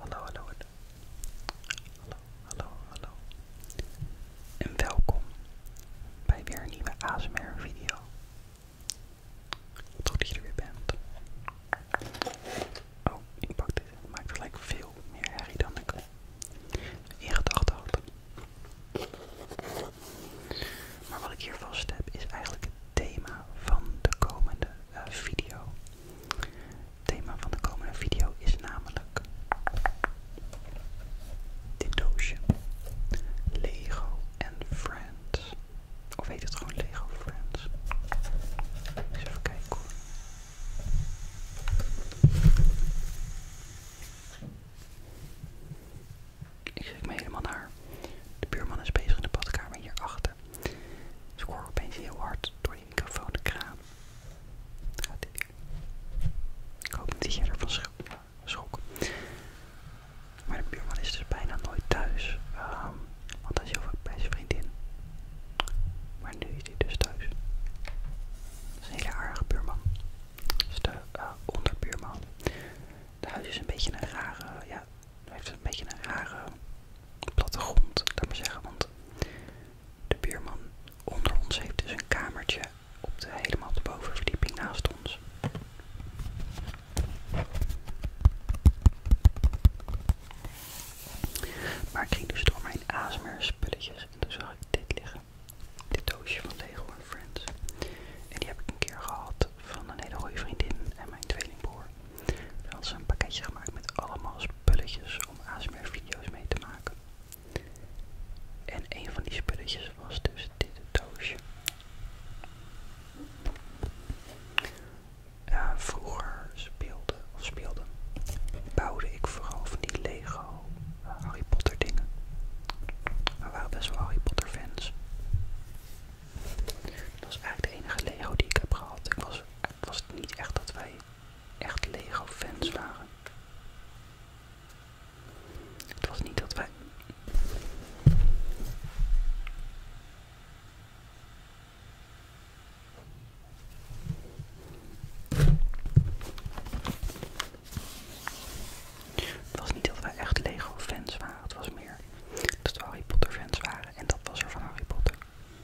Hallo, hallo, hallo. Hallo, hallo, hallo. En welkom bij weer een nieuwe ASMR video. Wat goed dat je er weer bent. Oh, ik pak dit. Het maakt gelijk veel meer herrie dan ik in gedachten had. Maar wat ik hier vast heb is eigenlijk het thema van de komende eh, video thema van de komende video is namelijk dit doosje. Lego en Friends. Of heet het gewoon Lego Friends? even kijken hoor. Ik schrik me helemaal naar. De buurman is bezig in de badkamer hierachter. Dus ik hoor opeens heel hard door die microfoon de kraan. Gaat dit Ik hoop niet dat je ervan schokt. Maar de buurman is dus bijna nooit thuis. Ehm, want hij is heel vaak bij zijn vriendin. Maar nu is hij dus thuis. Dat is een hele aardige buurman. Dat is de eh, onderbuurman. Het huis is een beetje een rare, ja, heeft een beetje een rare platte grond, laat maar zeggen. Want de buurman onder ons heeft dus een kamertje op de helemaal de bovenverdieping naast ons. Maar ik ging dus door mijn ASMR spulletjes en toen zag ik dit liggen. Dit doosje van Lego Friends. En die heb ik een keer gehad van een hele goede vriendin en mijn tweelingbroer. Er had ze een pakketje gemaakt met allemaal spulletjes om ASMR video's mee te maken. En een van die spulletjes was dus dit doosje. vroeger speelde, of speelde, bouwde ik vooral van die Lego eh, Harry Potter dingen. We waren best wel Harry Potter fans. Dat was eigenlijk de enige Lego die ik heb gehad. Ik was was niet echt dat wij echt Lego-fans waren. Het was niet dat wij. Het was niet dat wij echt Lego-fans waren, het was meer dat we Harry Potter-fans waren en dat was er van Harry Potter.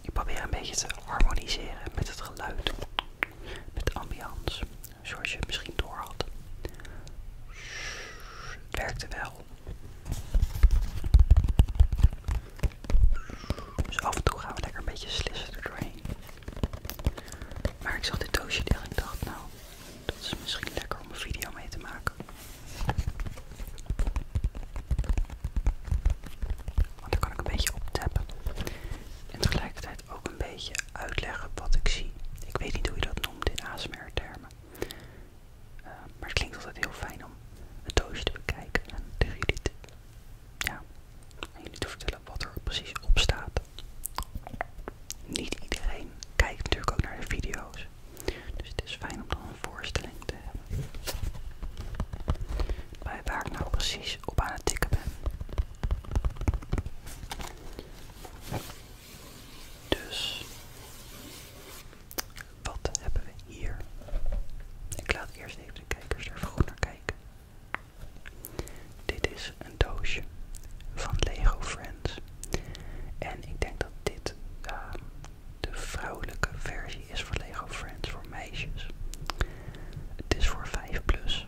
Ik probeer een beetje te harmoniseren met het geluid, met de ambiance, zoals je het misschien door had. Het werkte wel. Dus af en toe gaan we lekker een beetje slissen er doorheen. Maar ik zag dit doosje en dacht, nou, dat is misschien lekker om een video mee te maken. Want dan kan ik een beetje op tappen. En tegelijkertijd ook een beetje uitleggen wat ik zie. Ik weet niet hoe je dat noemt in ASMR-termen. Eh, maar het klinkt altijd heel fijn om het doosje te bekijken en tegen jullie te, te vertellen wat er precies op staat. Niet iedereen kijkt natuurlijk ook naar de video's. Dus het is fijn om dan een voorstelling te hebben. Bij waar ik nou precies op aan het tikken ben. Dus, wat hebben we hier? Ik laat eerst even de kijkers er vroeger naar kijken. Dit is een doosje van Lego Friends. En ik denk dat dit ehm, de vrouwelijke versie is van Lego Friends voor meisjes. Het is voor 5 plus.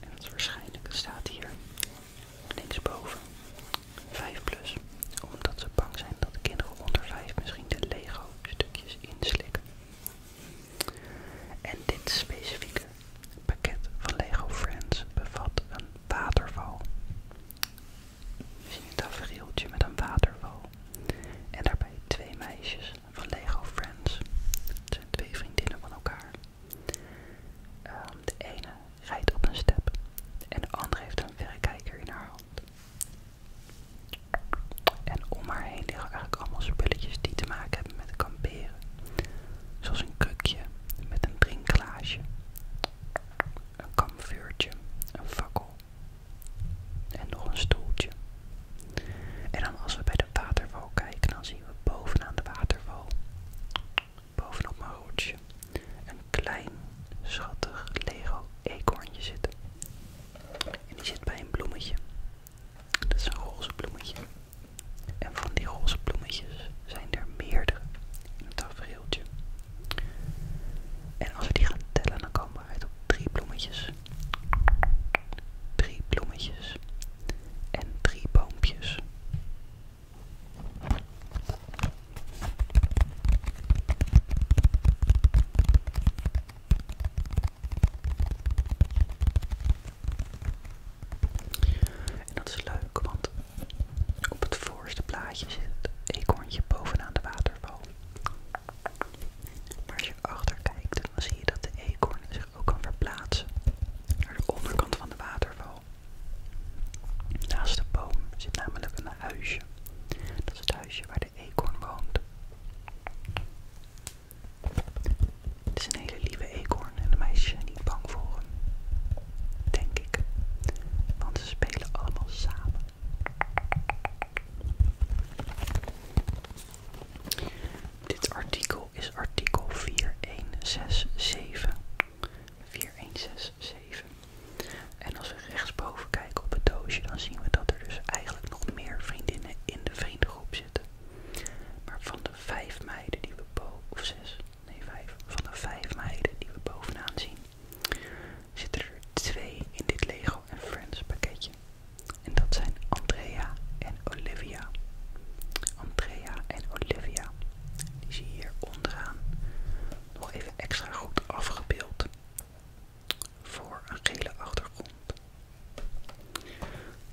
En dat is waarschijnlijk, het staat hier linksboven. 5 plus. Omdat ze bang zijn dat kinderen onder 5 misschien de Lego stukjes inslikken. En dit specifieke pakket van Lego Friends bevat een waterval. We zien een tafereeltje met een waterval. En daarbij twee meisjes van Lego Friends. Het zijn twee vriendinnen van elkaar. Ehm, de ene rijdt op een step en de andere heeft een verrekijker in haar hand. En om haar heen liggen eigenlijk allemaal spulletjes die te maken hebben met kamperen. Zoals een krukje met een drinklaagje, een kamvuurtje, een fakkel en nog een stoeltje en dan als we bij de waterval kijken, dan zien we bovenaan de waterval, bovenop mijn roodje een klein, schattig Lego eekhoornje zitten. En die zit bij een bloemetje. Dat is een roze bloemetje. En van die roze bloemetjes zijn er meerdere in het tafereeltje. En als we die gaan tellen, dan komen we uit op drie bloemetjes drie bloemetjes en drie boompjes. En dat is leuk, want op het voorste plaatje zit het eekhoorntje bovenaan de waterval. Maar als je achter kijkt, dan zie je dat de eekhoorn zich ook kan verplaatsen naar de onderkant van de waterval. Naast de boom zit namelijk een huisje. Dat is het huisje waar de eekhoorn woont. Het is een hele lieve eekhoorn en de meisje zijn niet bang voor hem. Denk ik. Want ze spelen allemaal samen. Dit artikel is artikel 4167. 4167. En als we rechtsboven kijken op het doosje, dan zien we dat er dus eigenlijk nog meer vriendinnen in de vriendengroep zitten. Maar van de vijf meiden die we boven, van de vijf meiden die we bovenaan zien, zitten er twee in dit Lego Friends pakketje. En dat zijn Andrea en Olivia. Andrea en Olivia. Die zie je hier onderaan nog even extra goed afgebeeld. Voor een gele achtergrond.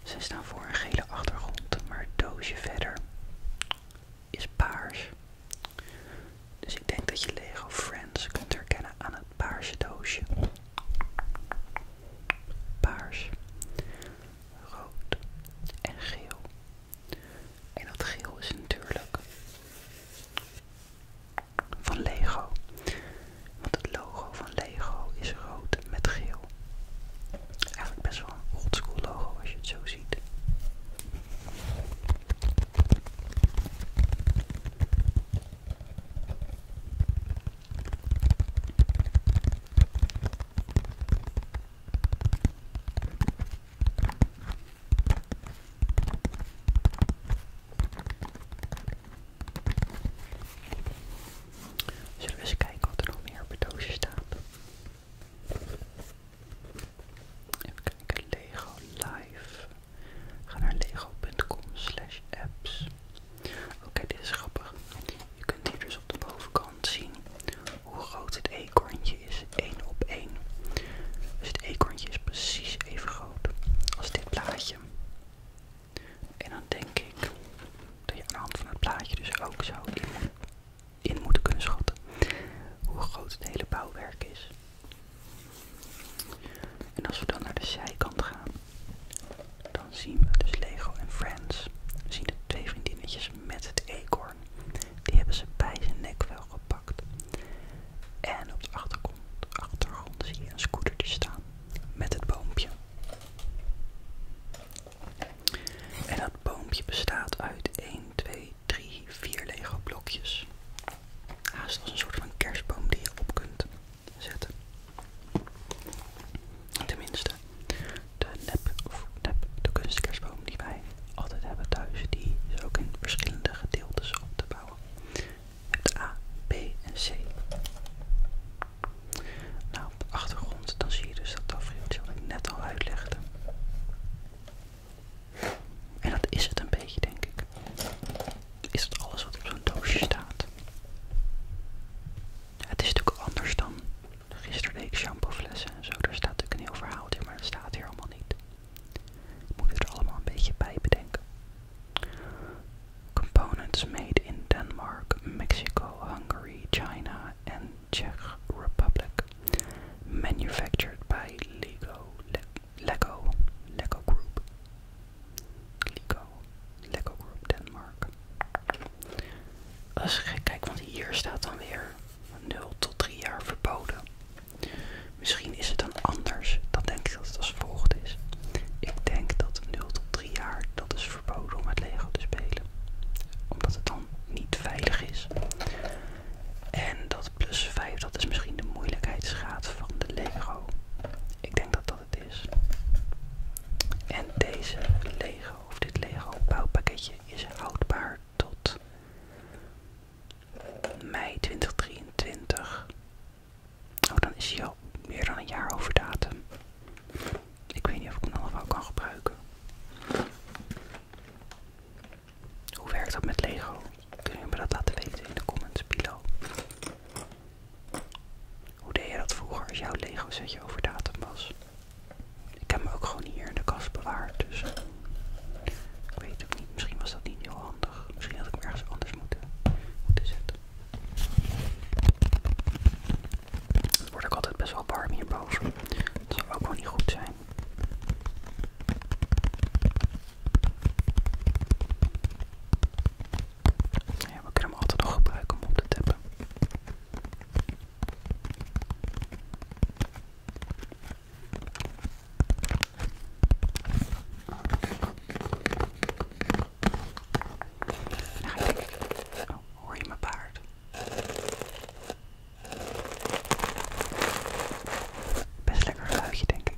Ze staan voor een gele achtergrond, maar het doosje verder is paars. Dus ik denk dat je Lego Friends kunt herkennen aan het paarse doosje paars, rood en geel. En dat geel is natuurlijk van Lego. Want het logo van Lego is rood met geel. Eigenlijk best wel een oldschool logo als je het zo ziet. Zullen we eens kijken wat er nog meer op staan. doosje staat? Even kijken, Lego Live. Ga naar lego.com slash apps Oké, dit is grappig. Je kunt hier dus op de bovenkant zien hoe groot het eekhoorntje is, 1 op 1. Dus het eekhoorntje is precies even groot als dit plaatje. En dan denk ik dat je aan de hand van het plaatje dus ook zou in moeten kunnen schatten hoe groot het hele bouwwerk is. En als we dan naar de zijkant gaan, dan zien we dus Lego en Friends. We zien de twee vriendinnetjes met het eekhoorn. Die hebben ze bij zijn nek wel gepakt. En op de achtergrond, achtergrond zie je een scootertje staan met het boompje. En dat boompje bestaat uit 1, 2, 3, 4 Lego blokjes. Haast als een soort van kerstboom die je op kunt zetten. Tenminste, de nep, die wij altijd hebben thuis, die is ook in verschillende gedeeltes op te bouwen. Het A, B en C. Nou, op de achtergrond dan zie je dus dat tafereeltje wat ik net al uitlegde. En dat is het een beetje, denk ik. Is dat alles wat op zo'n doosje staat? Het is natuurlijk anders dan gisteren de ik shampooflessen en zo. Daar staat natuurlijk een heel verhaal maar dat staat hier allemaal niet. Moet het er allemaal een beetje bij bedenken. Components made in Denmark, Mexico, Hungary, China and Czech Republic. Manufactured by Lego, Lego, Lego Group. Lego, Lego Group Denmark. Als kijk, want hier staat dan weer 0 tot 3 jaar verboden. Misschien is het dan anders. Dan denk ik dat het als volgt is. Ik denk dat 0 tot 3 jaar, dat is verboden om met Lego te spelen. Omdat het dan niet veilig is. En dat plus 5, dat is misschien de moeilijkheidsgraad van de Lego. Ik denk dat dat het is. En deze Lego of dit Lego bouwpakketje is houdbaar tot mei 2023. Oh, dan is hij al meer dan een jaar over datum. Ik weet niet of ik hem nog wel kan gebruiken. Hoe werkt dat met Lego? Kun je me dat laten weten in de comments below? Hoe deed je dat vroeger als jouw Lego setje over datum was? Ik heb hem ook gewoon hier in de kast bewaard, dus ik weet het niet. Misschien was dat niet heel handig. Misschien had ik hem ergens anders moeten, moeten zetten. Het wordt ook altijd best wel warm hierboven. Dat zou ook wel niet goed zijn. we kunnen hem altijd nog gebruiken om op te tappen. Oh, hoor je mijn paard? Best lekker geluidje, denk ik.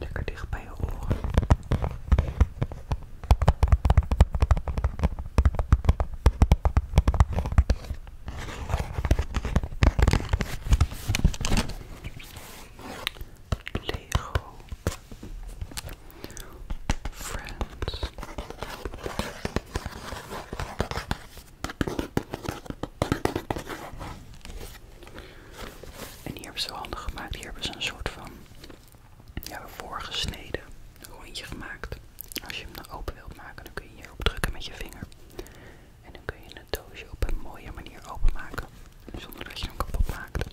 Lekker dicht bij je oren. Lego friends. En hier hebben ze handig gemaakt. Hier hebben ze een soort van ja, voorgesneden rondje gemaakt. Als je hem dan nou open wilt maken, dan kun je hierop drukken met je vinger. En dan kun je het doosje op een mooie manier openmaken. Zonder dat je hem kapot maakt.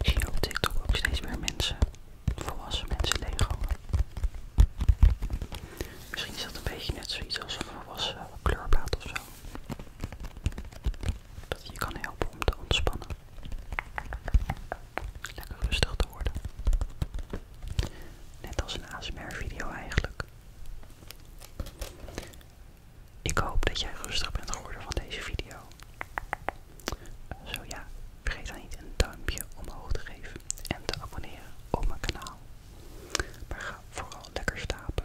Ik zie op TikTok ook steeds meer mensen, volwassen mensen, Lego. Misschien is dat een beetje net zoiets als een volwassen kleurplaat of zo. Dat je kan helpen om te ontspannen. Lekker rustig te worden. Net als een ASMR video eigenlijk. Ik hoop dat jij rustig bent geworden van deze video. Zo ja, vergeet dan niet een duimpje omhoog te geven en te abonneren op mijn kanaal. Maar ga vooral lekker slapen.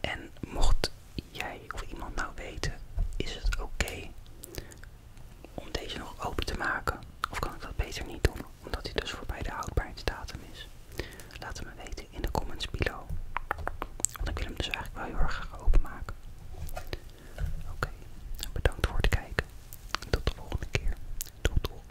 En mocht jij of iemand nou weten, is het oké om deze nog open te maken? Of kan ik dat beter niet doen, omdat hij dus voorbij de houdbaarheidsdatum is? Laat het me weten in de comments below. Want ik wil hem dus eigenlijk wel heel erg graag openmaken. Oké, bedankt voor het kijken. Tot de volgende keer. Tot doei.